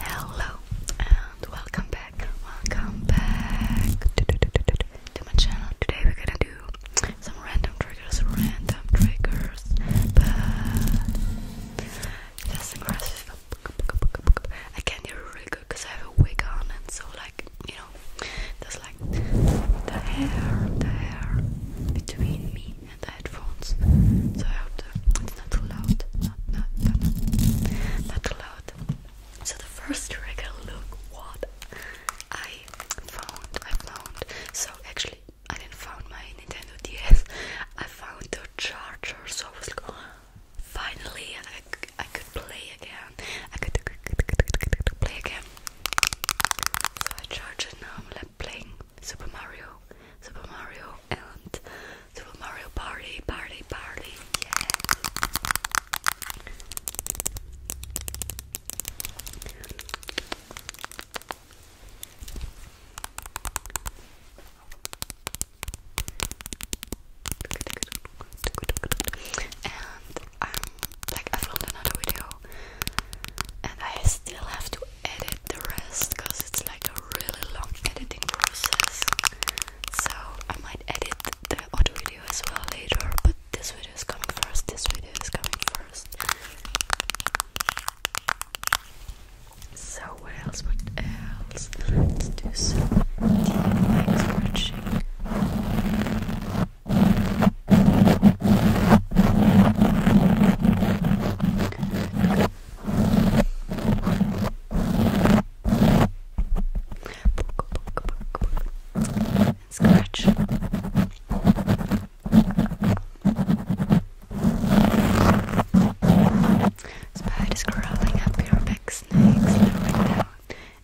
Hello and welcome back, welcome back to my channel. Today we're gonna do some random triggers, random triggers, but just aggressive. I can hear really good because I have a wig on, and so like you know, there's like the hair, the hair between me the headphones, so I hope it's not too loud. Not, not, not, too loud. So the first trigger, look what I found. I found. So actually, I didn't found my Nintendo DS. I found the charger. So oh, finally, I, could play again. I could, play again. So I charge it now playing Super Mario, Super Mario, and Super Mario Party, Party, Party. Yeah. And um, like I filmed another video, and I still have to edit the rest because it's like a really long editing process. So I might edit the other video as well later, but this video is coming first. This video is coming first. So what else? What else? Let's do some deep scratching scratch. Spiders crawling up your back, snakes slowing down.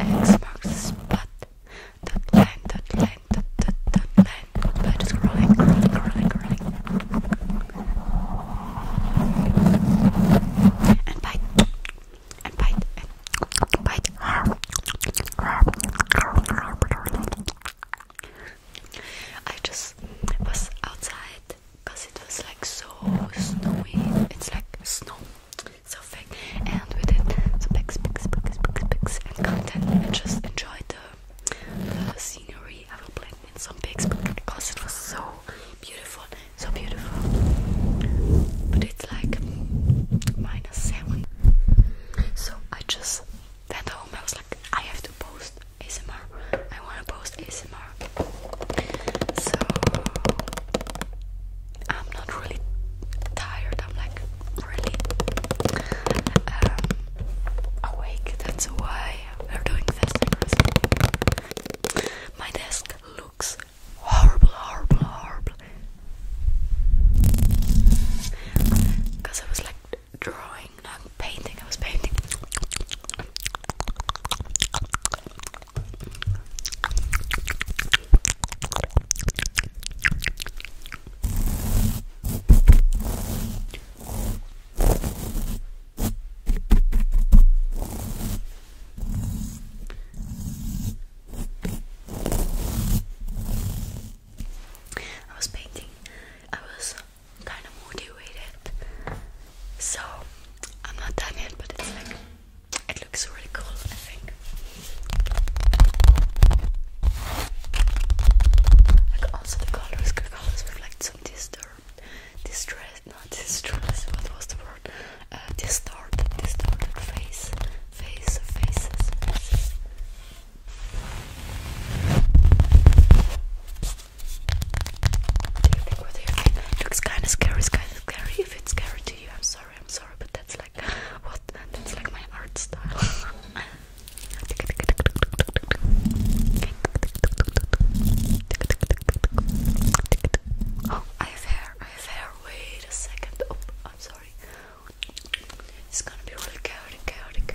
X marks the spot. Dot line, dot line, dot dot dot line bird is crying, crying, crying, crying. And bite, and bite, and bite. I just was outside because it was like so snowy. It's like snow, so fake. And we did some pics, pics, pics, pics, pics, and content just enjoyed the the, scenery. I will blend in some pics because it was so beautiful, so beautiful. But it's like minus seven. So I just went home. I was like, I have to post ASMR. I want to post ASMR. So I'm not really tired. I'm like really. Um, awake, that's why we're doing this. My desk looks horrible, horrible, horrible. Because I was like drawing, not painting, I was painting. I was painting, I was kind of motivated, so I'm not done yet, but it's like it looks really cool, I think. Like also the colors, the colors reflect some disturbed, distress, not distress. What was the word? Uh, distorted, distorted face, face, faces, looks kind of scary, it's kind of scary. If it's scary to you, I'm sorry, I'm sorry, but that's like what? That's like my art style. Oh, I have hair, I have hair. Wait a second. Oh, I'm sorry. It's gonna be really chaotic, chaotic.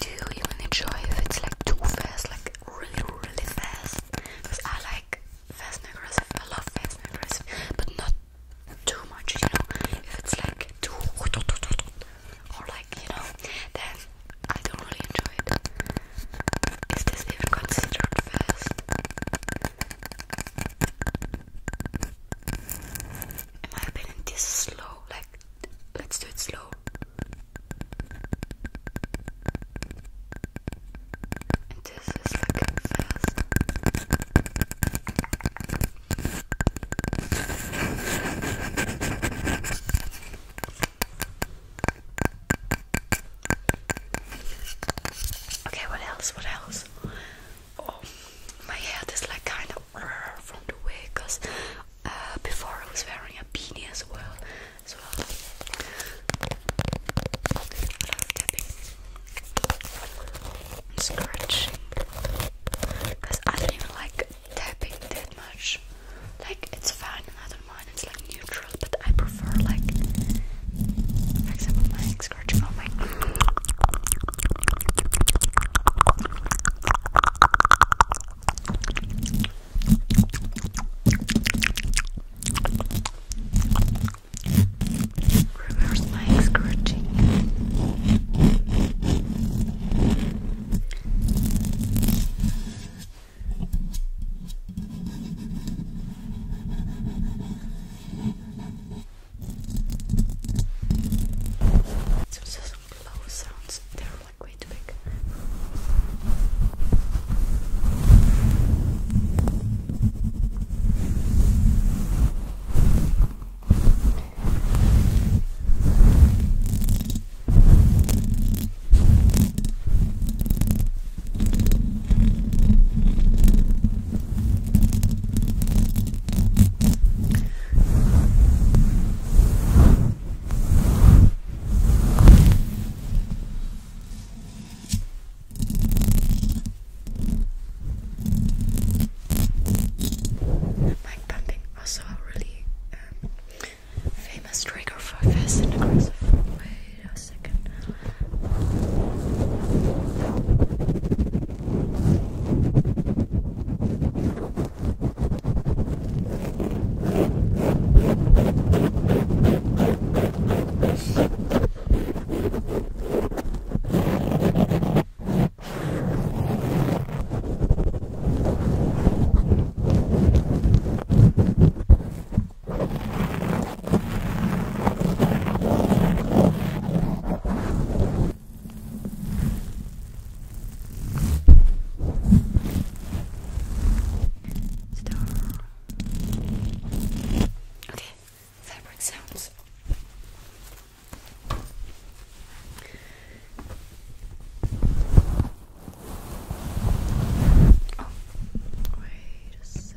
Do you enjoy if it's like too fast, like really, really fast? Because I like fast and aggressive. I love fast and aggressive, but not too much. You know, if it's like too or like you know, then I don't really enjoy it. Is this even considered fast? In my opinion, this slow. Like, let's do it slow. And this is fast. Okay, what else? What else? oh, my head is like kind of from the wig because uh, before I was wearing a beanie as well. As I love scratching because I don't even like tapping that much. Like it's fine I don't mind, it's like neutral, but I prefer like like scratching on my Reverse leg scratching. It's also some low sounds, they're like way too big. Mic pumping also a really um, famous trigger for fast and second. Star. Okay, fabric sounds. Oh, wait. Wait a second.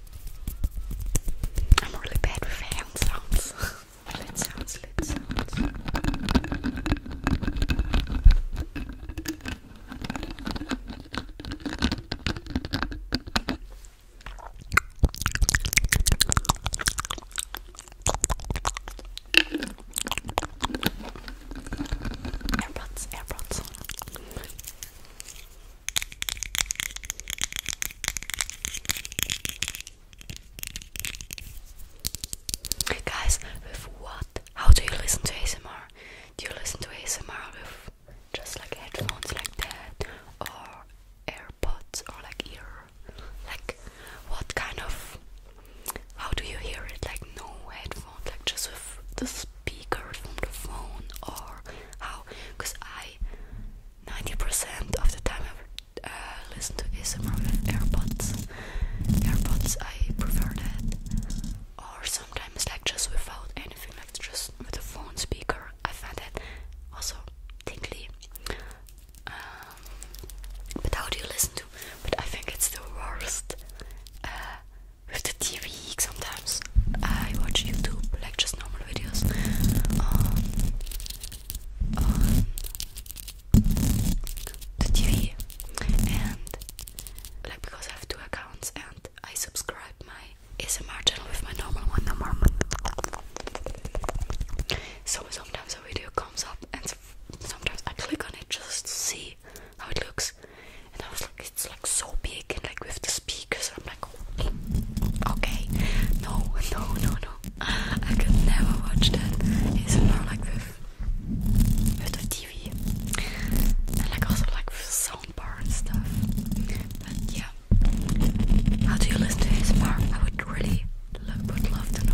I'm really bad with hand sounds. Let's sounds, lid sounds. AirPods, AirPods. Guys, with what? How do you listen to ASMR? Do you listen to ASMR with just like headphones like that? Or AirPods or like ear? Like what kind of how do you hear it? Like no headphones, like just with the speaker from the phone or how? Because I 90% of the time I uh, listen to ASMR AirPods. AirPods, I prefer that. Or sometimes like just without anything, like just with a phone speaker. I find that also tingly. Um, but how do you listen to? But I think it's the worst uh, with the TV sometimes. I watch YouTube, like just normal videos on uh, uh, the TV, and like because I have two accounts and I subscribe my is a marginal with my normal one. So sometimes a video comes up and sometimes I click on it just to see how it looks, and I was like, it's like so big and like with the speakers I'm like okay, okay. no no no no I could never watch that it's more like with with the TV and like also like with the soundbar and stuff but yeah how do you listen to ASMR? I would really would love to know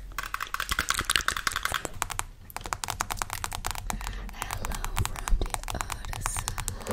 Hello from the other side.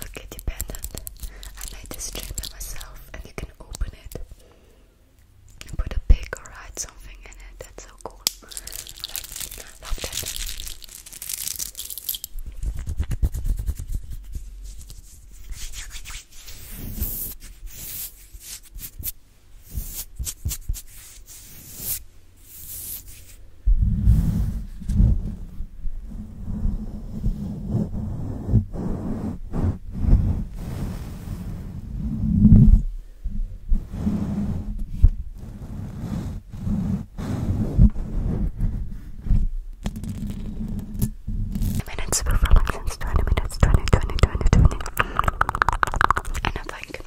I'll get dependent. I made this string by myself and you can open it put a pig or write something in it. That's so cool. I love that minutes before license, 20 minutes, 20, 20, 20, 20. And I think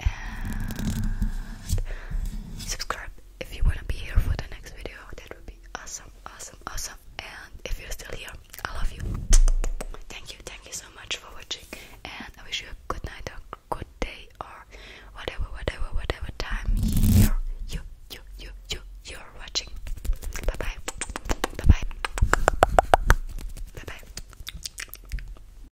and subscribe if you want to be here for the next video. That would be awesome, awesome, awesome. And if you're still here, I love you. Thank you, thank you so much for watching. And I wish you a good night or good day or whatever, whatever, whatever time you're you you you you you're watching. Bye bye. Bye bye. Bye bye.